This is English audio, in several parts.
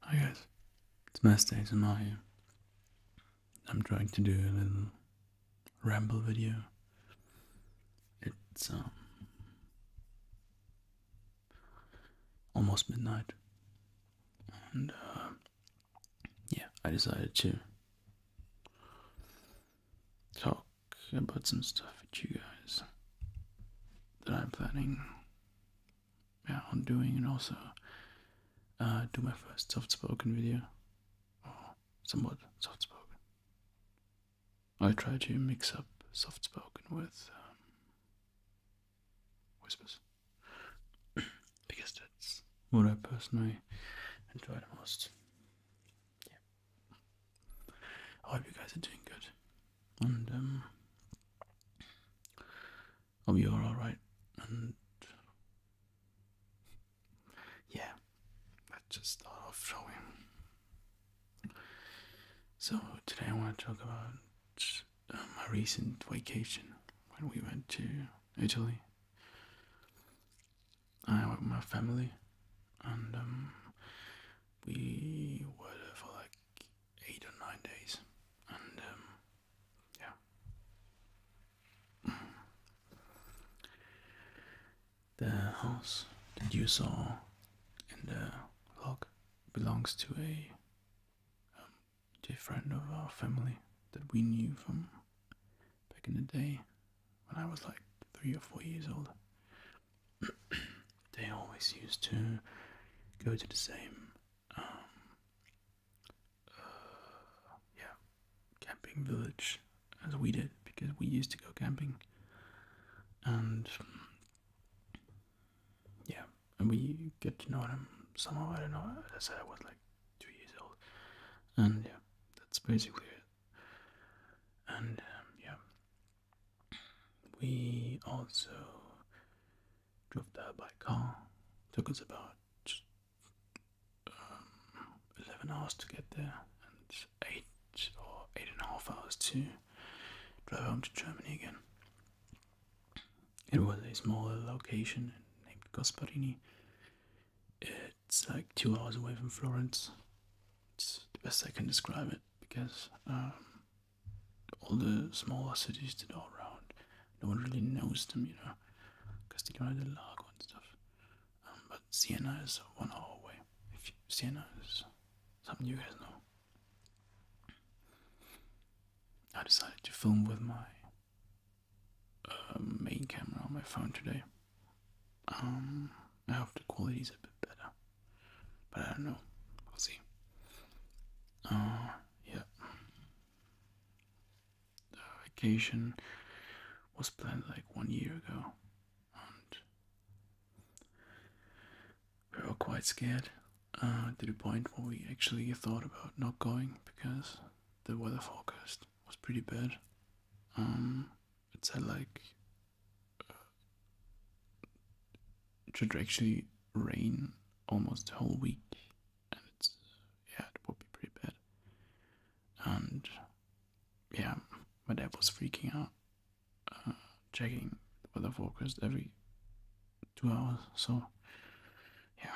Hi guys, it's Master ASMR here. I'm trying to do a little ramble video. It's um, almost midnight, and uh, yeah, I decided to talk about some stuff with you guys that I'm planning yeah, on doing, and also uh, do my first soft-spoken video, or somewhat soft-spoken. I try to mix up soft-spoken with um, whispers because that's what I personally enjoy the most. Yeah. I hope you guys are doing good and um, oh, you're all right, and yeah, let's just start off, shall So today I want to talk about my um, recent vacation when we went to Italy. I went with my family, and um, we were for like eight or nine days, and um, yeah. The house that you saw in the vlog belongs to a um, dear friend of our family that we knew from back in the day when I was like three or four years old. they always used to go to the same um, uh, yeah camping village as we did because we used to go camping and yeah and we get to know them somehow I don't know I said I was like two years old and yeah that's basically it and um, yeah we also drove there by car. Took us about um, 11 hours to get there and 8 or 8 and a half hours to drive home to Germany again. It was a small location named Cosparini. It's like two hours away from Florence. It's the best I can describe it because um, all the smaller cities that are around. No one really knows them, you know, because they go to the Lago and stuff. Um, but Sienna is one hour away. If you, is something you guys know. I decided to film with my uh, main camera on my phone today. Um, I hope the quality is a bit better. But I don't know. we will see. Uh, yeah. The vacation was planned like one year ago. And we were quite scared uh, to the point where we actually thought about not going because the weather forecast was pretty bad. Um, it said like it should actually rain almost the whole week, and it's yeah, it would be pretty bad. And yeah, my dad was freaking out, uh, checking the weather forecast every two hours. So yeah,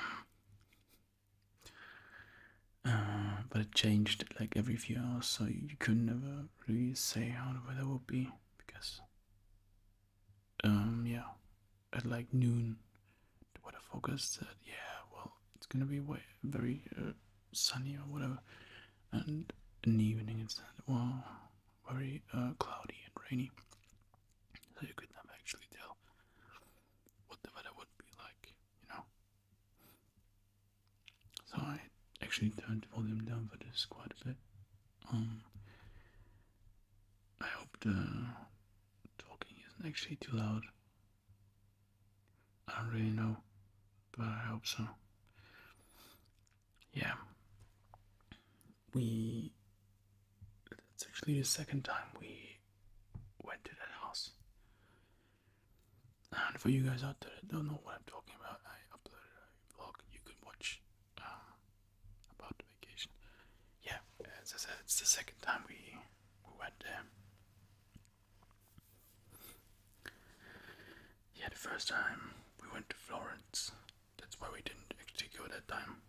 uh, but it changed like every few hours, so you could never really say how the weather would be because um, yeah, at like noon, the weather forecast said, yeah, well, it's gonna be way, very uh, sunny or whatever, and in the evening it said, well, very uh, cloudy and rainy, so you could never actually tell what the weather would be like, you know. So I actually turned the volume down for this quite a bit um, I hope the talking isn't actually too loud. I don't really know, but I hope so. Yeah. We. It's actually the second time we went to that house. And for you guys out there that don't know what I'm talking about, I uploaded a vlog you can watch um, about vacation. Yeah, as I said, it's the second time we, we went there. Yeah, the first time we went to Florence. That's why we didn't actually go that time.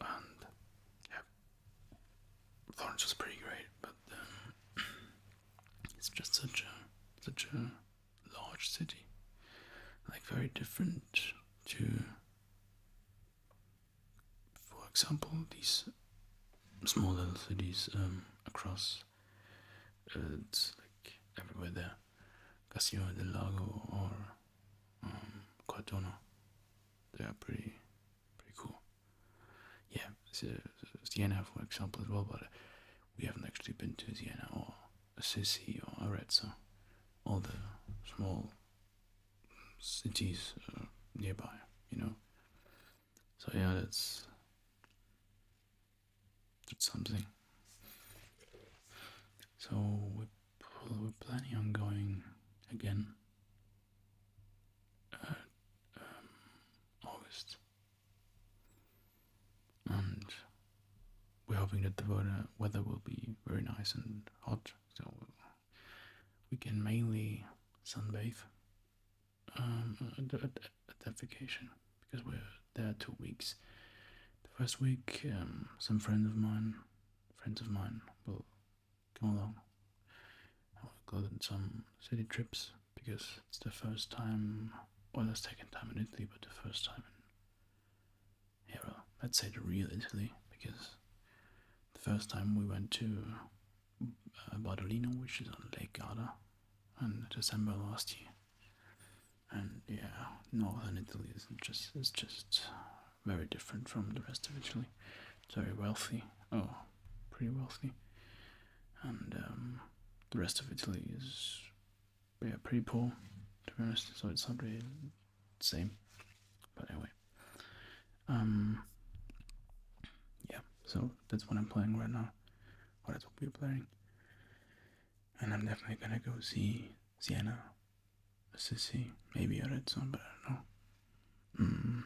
And yeah, Florence was pretty great, but um, it's just such a such a large city. Like very different to, for example, these small little cities um, across. Uh, it's like everywhere there, Casio del Lago or um, They are pretty, pretty cool. Yeah, Siena, for example, as well. But we haven't actually been to Siena or Assisi or Arezzo, all the small cities uh, nearby, you know. So yeah, that's something. So we are planning on going again. Uh, um, August and we're hoping that the weather, will be very nice and hot, so we can mainly sunbathe um, at, at, that vacation because we're there two weeks. The first week, um, some friends of mine, friends of mine, will come along. I will go on some city trips because it's the first time, well, the second time in Italy, but the first time in era. Let's say the real Italy, because the first time we went to uh, which is on Lake Garda, in December last year. And yeah, northern Italy is just is just very different from the rest of Italy. It's very wealthy. Oh, pretty wealthy. And um, the rest of Italy is yeah, pretty poor to be honest. So it's probably the same. But anyway, um, yeah. So that's what I'm playing right now, or that's what we're playing. And I'm definitely gonna go see Sienna, Assisi, maybe a Redstone, but I don't know. Mm.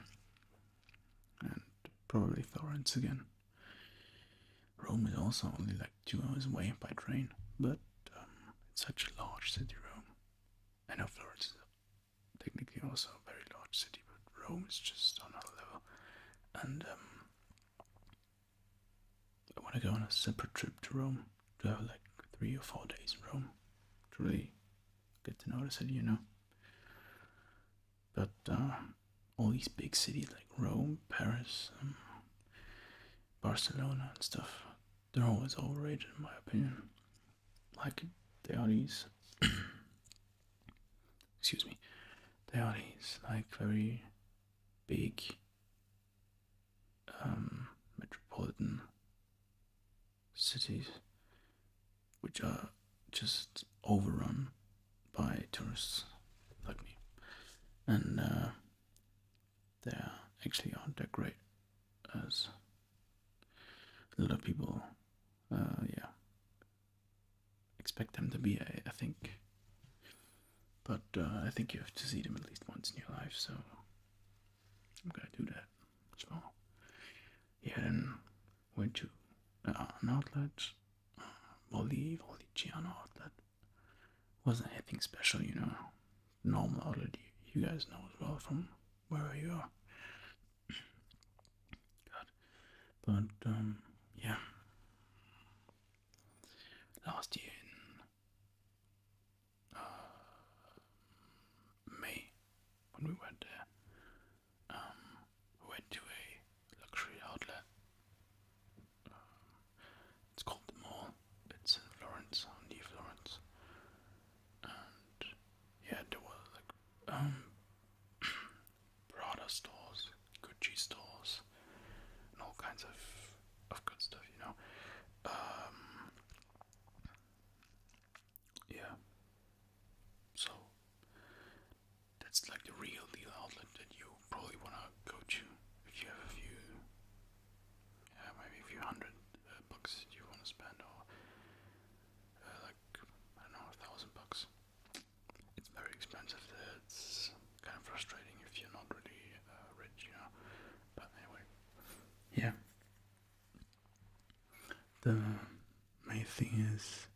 And probably Florence again. Rome is also only like two hours away by train, but um, it's such a large city, Rome. I know Florence is technically also a very large city, but Rome is just on another level. And um, I want to go on a separate trip to Rome to have like three or four days in Rome to really get to notice it, you know. But uh, all these big cities like Rome, Paris, um, Barcelona and stuff. They're always overrated, in my opinion. Like they are these, Excuse me. they are these like very big, um, metropolitan cities, which are just overrun by tourists like me. And uh, they actually aren't that great as a lot of people, uh, yeah, expect them to be. I, think, but uh, I think you have to see them at least once in your life. So I'm gonna do that. So yeah, then went to uh, an outlet, uh, Valley Valley outlet, wasn't anything special, you know. Normal outlet, you, guys know as well from where you are. But, um, yeah. Last year uh, May, when we went there, um, we went to a luxury outlet um, it's called the Mall. It's in Florence, near Florence. And yeah, there were like um, Prada stores, Gucci stores, and all kinds of of good stuff, you know. Um, yeah. So that's like the real deal outlet that you probably wanna go to if you have a few uh, maybe a few hundred uh, bucks you want to spend, or uh, like I don't know, a thousand bucks. It's very expensive. It's kind of frustrating if you're not really uh, rich, you know. But anyway, yeah. The main thing is,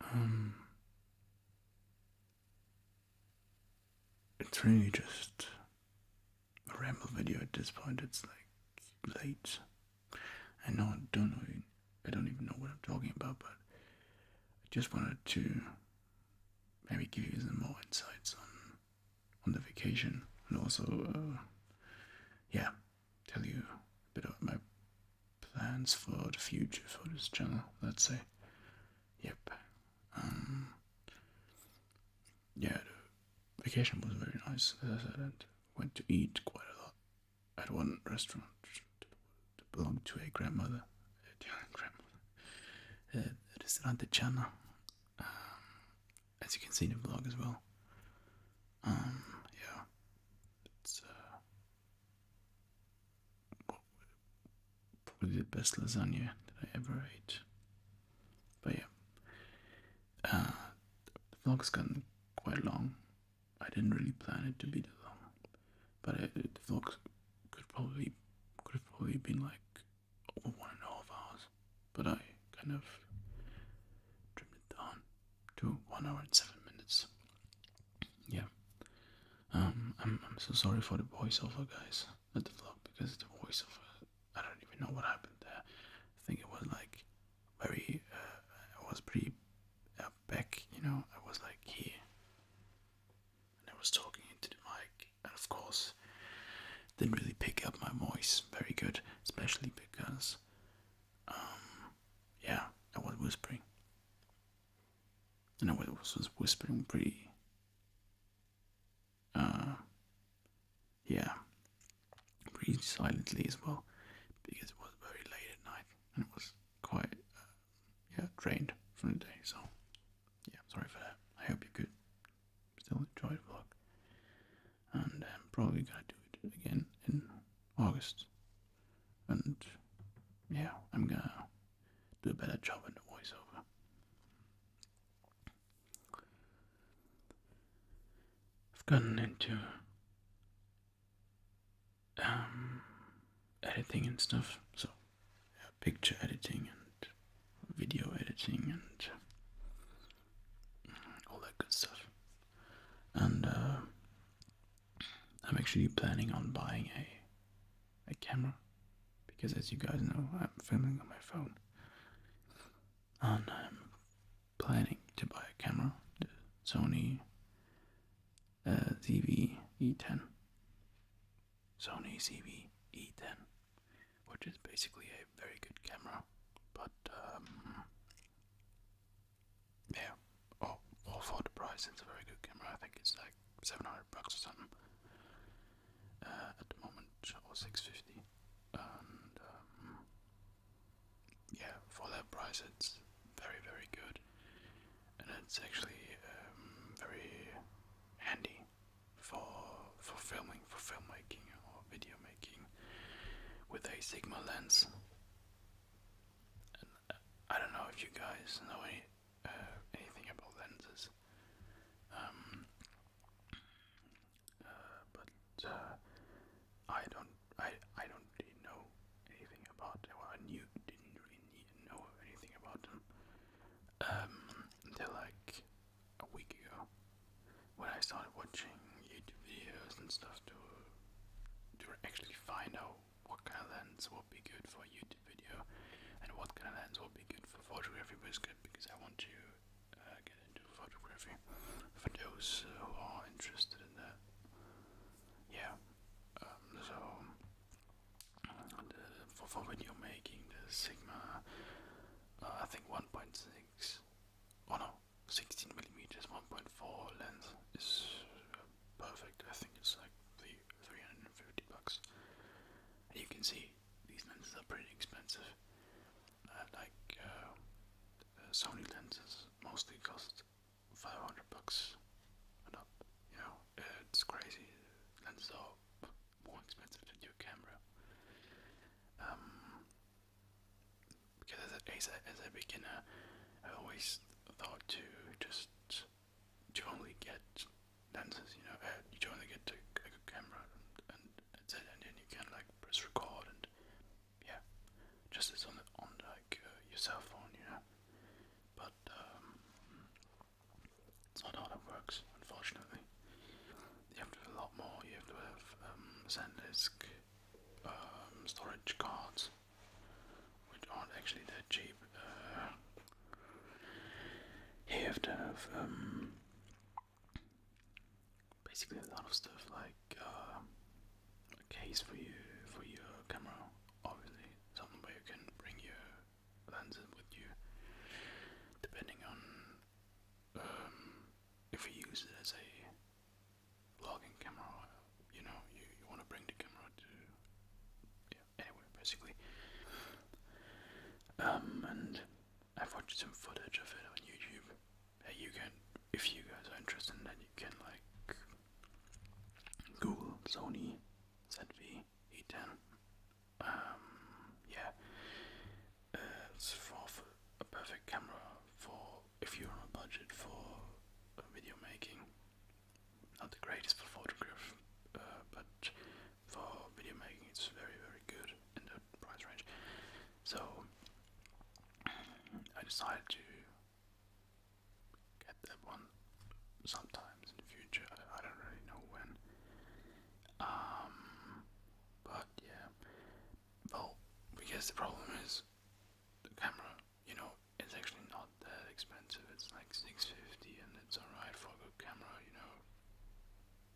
um, it's really just a ramble video at this point. It's like late. I I don't know. I don't even know what I'm talking about, but I just wanted to maybe give you some more insights on on the vacation and also, uh, yeah, tell you a bit about my plans for the future for this channel. Let's say, yep. Um, yeah, the vacation was very nice. As I said, and went to eat quite a lot at one restaurant that belonged to a grandmother. Uh, grandmother. Uh, Restaurante um, as you can see in the vlog as well. Um, yeah probably the best lasagna that I ever ate. But yeah, uh, the vlog's gotten quite long. I didn't really plan it to be that long, but the vlog could probably could probably been like over one and a half hours, but I kind of trimmed it down to one hour and seven minutes. Yeah. Um, I'm so sorry for the voiceover, guys not the vlog because the voice of uh, I don't even know what happened there. I think it was like very uh, I was pretty uh, back, you know. I was like here, and I was talking into the mic, and of course didn't really pick up my voice very good, especially because um yeah I was whispering. And I was whispering pretty uh, yeah, breathed silently as well because it was very late at night and it was quite uh, yeah drained from the day. So yeah, I'm sorry for that. I hope you could Still enjoy the vlog, and I'm um, probably gonna do it again in August. And yeah, I'm gonna do a better job in the voiceover. I've gotten into um, editing and stuff, so picture editing and video editing and all that good stuff. And uh, I'm actually planning on buying a a camera because, as you guys know, I'm filming on my phone, and I'm planning to buy a camera, the Sony uh, ZV-E10, Sony ZV-E10, which is basically a very good camera, but um, yeah, oh, for the price, it's a very good camera. I think it's like 700 bucks or something uh, at the moment, or 650. And um, yeah, for that price, it's very, very good, and it's actually um, very handy for for filming, for filmmaking or video making with a Sigma lens. Uh, I don't know if you guys know any uh, anything about lenses. Um, uh, but uh, I don't, I, I don't really know anything about. Well, I knew didn't really know anything about them um, until like a week ago when I started watching YouTube videos and stuff to to actually find out what kind of lens would be good for YouTube video, and what kind of lens will be good for photography was good because I want to uh, get into photography for those who are interested in that. Yeah, um, so the, for, for video making, the Sigma, uh, I think 1.6, oh no, 16 millimeters, 1.4 lens is perfect. I think it's like the 350 bucks. And you can see these lenses are pretty expensive. Uh, like uh, uh, Sony lenses mostly cost 500 bucks and up. You know, it's crazy. Lenses are more expensive than your camera. Um, because as a, as a, as a beginner, I always thought to just you only get lenses, you know, uh, you only get a, like a camera and, and and then you can like press record and yeah, just as on on like uh, your cell phone, you know. But um, it's not how that works, unfortunately. You have to do a lot more. You have to have um, SanDisk um, storage cards, which aren't actually that cheap. Uh, you have to have um, basically a lot of stuff like uh, a case for you for your camera, obviously something where you can bring your lenses with you, depending on um, if you use it as a vlogging camera. You know, you, you want to bring the camera to yeah, anyway, basically. Um, and I've watched some footage of it on YouTube. you can, if you guys are interested, then you can like Google Sony ZV-E10. Um, yeah, it's for, a perfect camera for if you're on a budget for video making. Not the greatest for photograph, uh, but for video making. It's very, very good in the price range. So I decided to get that one sometimes in the future. I, don't really know when. Um, but yeah. Well, because the problem is the camera. You know, it's actually not that expensive. It's like 650, and it's alright for a camera. You know,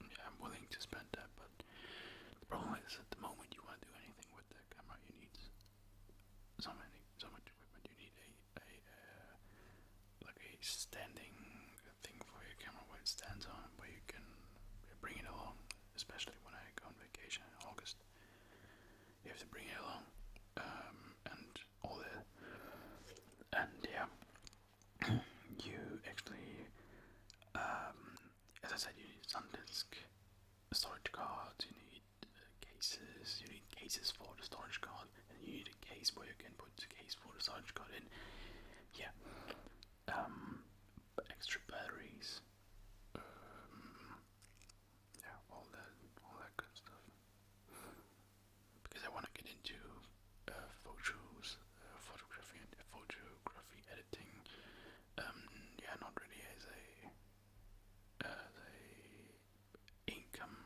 yeah, I'm willing to spend that, but the problem is at the moment you want to do anything with that camera, you need so many, so much equipment. You need a, a uh, like a standing thing for your camera where it stands on, where you can bring it along. Especially when I go on vacation August, you have to bring it along, um, and all that, and yeah you actually, um, as I said, you need SanDisk storage cards, you need uh, cases, you need cases for the storage card, and you need a case where you can put the case for the storage card in. Yeah, um, extra batteries, um, yeah, all that, all that good stuff because I want to get into uh, photos, uh, photography, and photography editing. Um, yeah, not really as a as a income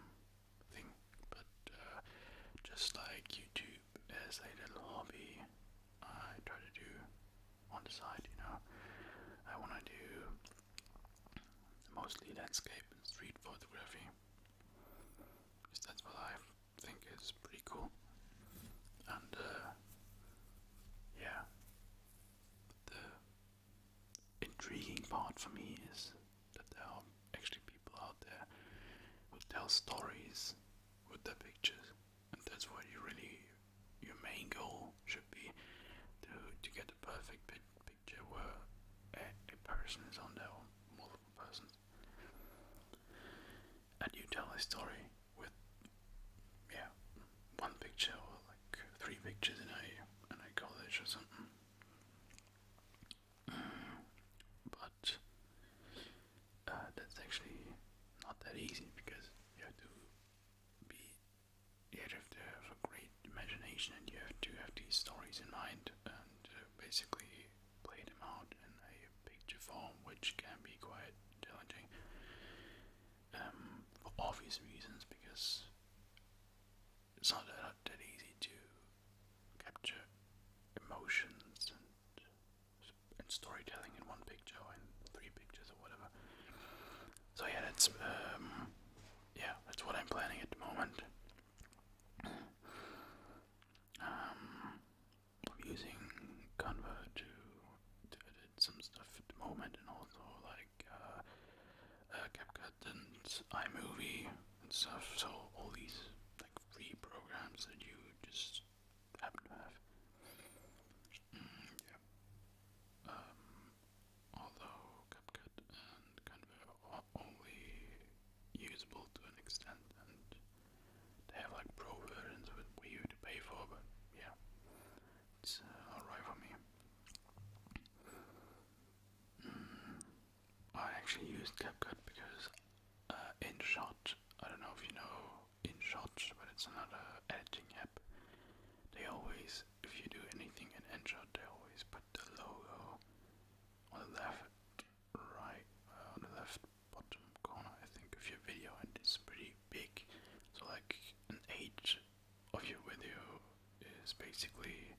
thing, but uh, just like YouTube as a little hobby, I try to do on the side. You know, I want to do mostly landscape and street photography that's what I think is pretty cool. And uh, yeah, the intriguing part for me is that there are actually people out there who tell stories with the pictures, and that's what you really your main goal should be to to get the perfect picture where a, a person is on there or multiple persons and you tell a story with yeah one picture or like three pictures in a in a college or something but uh, that's actually not that easy because you have to be you have to have a great imagination and you have to have these stories in mind and uh, basically played him out in a picture form, which can be quite challenging um, for obvious reasons because it's not that, easy to capture emotions and, and storytelling in one picture or in three pictures or whatever. So yeah, that's um, yeah, that's what I'm planning at the moment. Um, I'm using Canva to, edit some stuff at the moment, and also like uh, uh, CapCut and iMovie and stuff. So all these like free programs that you just happen to have. Mm, yeah. Um, although CapCut and Canva are only usable to an extent, and they have like pro versions with Wii U to pay for, but yeah, it's uh, alright for me. Mm, I actually used CapCut because uh, InShot, I don't know if you know InShot, but it's another editing app. They always, if you do anything in InShot, they always put the logo on the left right uh, on the left bottom corner, I think, of your video, and it's pretty big. So, like, an age of your video is basically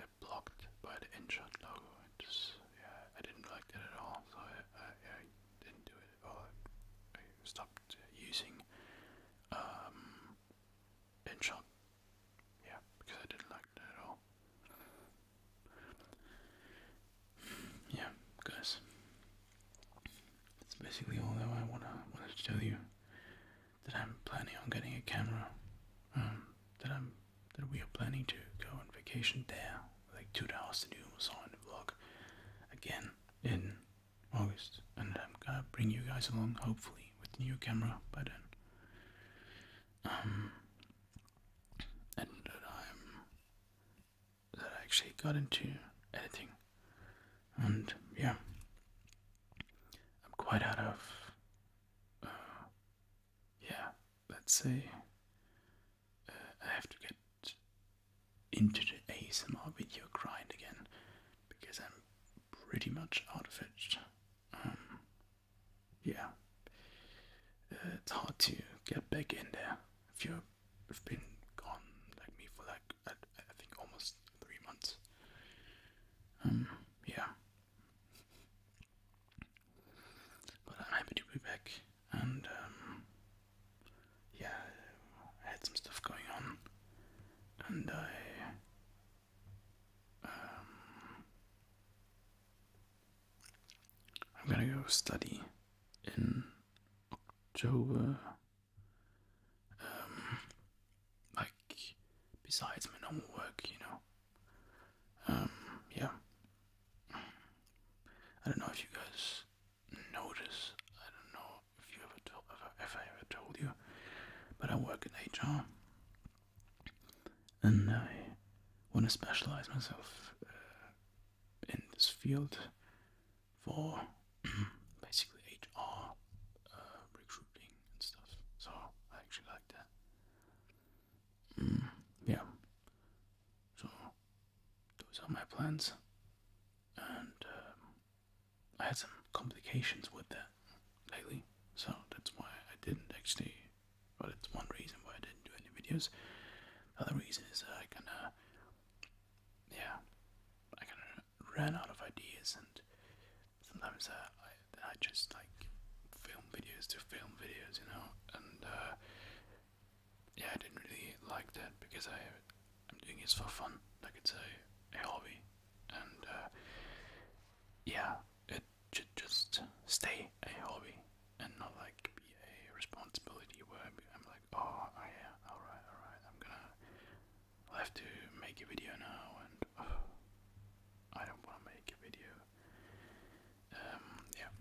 uh, blocked by the InShot logo. It just, yeah, I didn't like it at all, so I, I, didn't do it. Or I stopped using um, InShot, yeah, because I didn't like yeah, guys. That's basically all that I wanna wanted to tell you. That I'm planning on getting a camera. Um, that I'm that we are planning to go on vacation there, like two hours to do was on the vlog again in August, and I'm gonna bring you guys along hopefully with new camera by then. Um, and that I'm that I actually got into editing, and yeah, I'm quite out of uh, yeah. Let's say uh, I have to get into the ASMR video grind again because I'm pretty much out of it. Um, yeah, uh, it's hard to get back in there if you've been gone like me for like I, think almost three months. Um, yeah, but I'm happy to be back, and um, yeah, I had some stuff going on, and I um, I'm gonna go study in October. Um, like besides my normal work, you know. Um, yeah. I don't know if you guys notice. I don't know if you ever told if if I ever told you, but I work in HR and I want to specialize myself uh, in this field for basically HR uh, recruiting and stuff. So I actually like that. Mm, yeah. So those are my plans, and um, I had some complications with that lately, so that's why I didn't actually well, it's one reason why I didn't do any videos. The other reason is I kind of, yeah, I kind of ran out of ideas, and sometimes I, I just like film videos to film videos, you know, and uh, yeah, I didn't really like that because I I'm doing this for fun, like it's a, a hobby, and uh, yeah, should just stay a hobby and not like be a responsibility where I'm like, oh, oh yeah, alright, alright, I'm gonna have to make a video now and I don't wanna make a video. Um, yeah.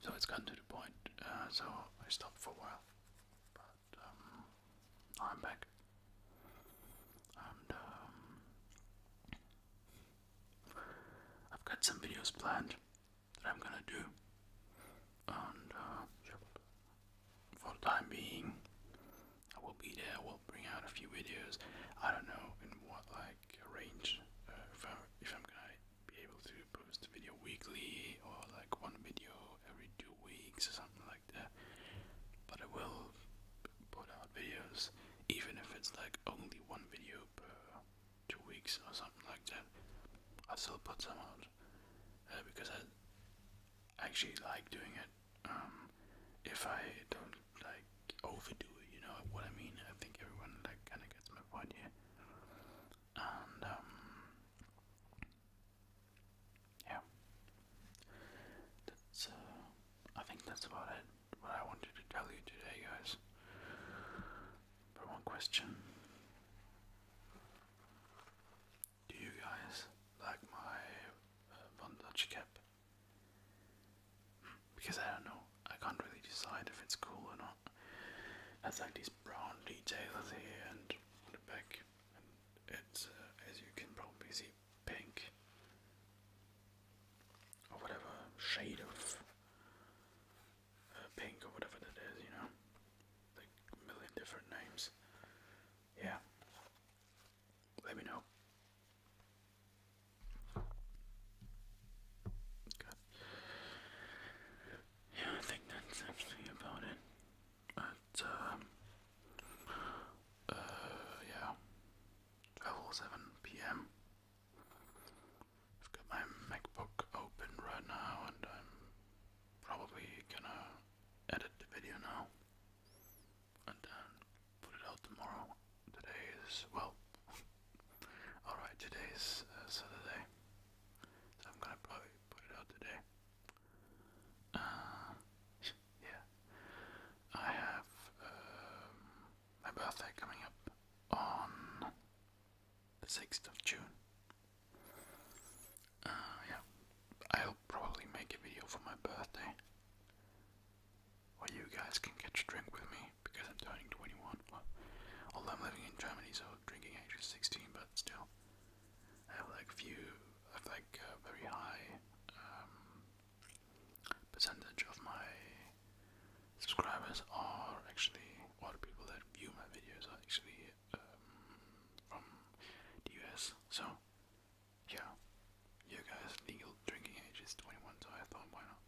So it's gotten to the point. Uh, so I stopped for a while. But um, I'm back. And um, I've got some videos planned that I'm gonna do, and uh, for the time being, I will be there. I will bring out a few videos. I don't know in what like range uh, if, I, if I'm gonna be able to post video weekly or like one video every two weeks or something like that. But I will put videos, even if it's like only one video per two weeks or something like that. I still put some out uh, because I actually like doing it. Um, if I don't like overdo it, you know what I mean. I think everyone like kind of gets my point here. And um, yeah, that's. Uh, I think that's about it what I wanted to tell you today, guys. But one question. Do you guys like my uh, Dutch cap? Because I don't know, I can't really decide if it's cool or not. Has like these brown details here and on the back, it's uh, as you can probably see pink or whatever shade of uh, pink or whatever that is, you know, like million different names. Yeah, let me know. Yeah, I think that's actually about it. But, um, uh, yeah. 12:07 p.m. I've got my MacBook open right now, and I'm probably gonna edit the video now and then put it out tomorrow. Today is well, all right. Today is uh, Saturday, so I'm gonna probably put it out today. Uh, yeah, I have um, my birthday coming up on the 6th of June. Uh, yeah, I'll probably make a video for my birthday where you guys can get a drink with me because I'm turning 21. although I'm living in Germany, so drinking age is 16, but still, I have like few, I like uh, very high um, percentage of my subscribers are actually, or the people that view my videos are actually um, from the US. So, yeah, you guys, legal drinking age is 21, so I thought, why not?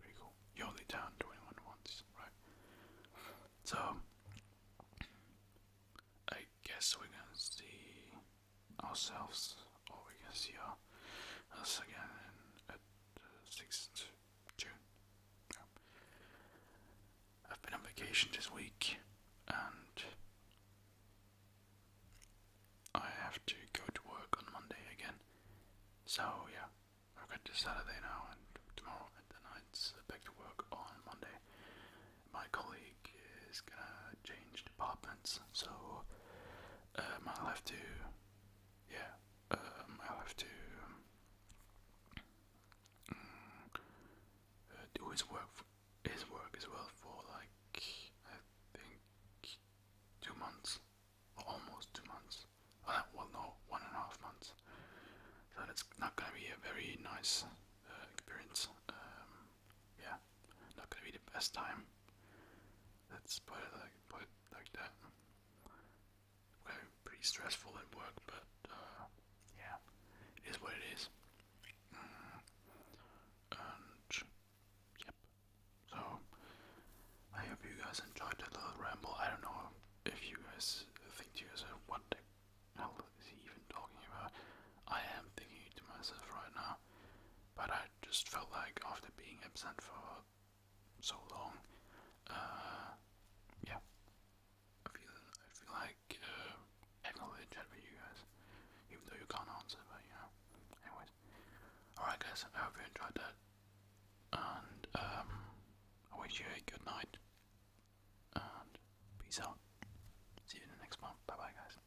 Pretty cool. You only down 21 once, right? So, I guess we're gonna see ourselves, or we can see our, us again in, at uh, 6th June. Yeah. I've been on vacation this week and I have to go to work on Monday again. So, yeah, I've got this Saturday now and tomorrow at the night's back to work on Monday. My colleague is gonna change departments, so uh, i have to, yeah, uh, i have to um, uh, do his work, his work as well for like I think two months, almost two months. well, no, one and a half months. So that's not gonna be a very nice experience. Um, yeah, not gonna be the best time. That's us put like, like that. Okay, pretty stressful at work, but uh, yeah, it is what it is. Mm. And yep. So I hope you guys enjoyed that little ramble. I don't know if you guys think to yourself, what the hell is he even talking about? I am thinking to myself right now but I just felt like after being absent for so long, uh, yeah, I feel I feel like uh, acknowledge that with you guys, even though you can't answer, but you know, anyways. Alright, guys, I hope you enjoyed that, and um, I wish you a good night, and peace out. See you in the next one. Bye bye, guys.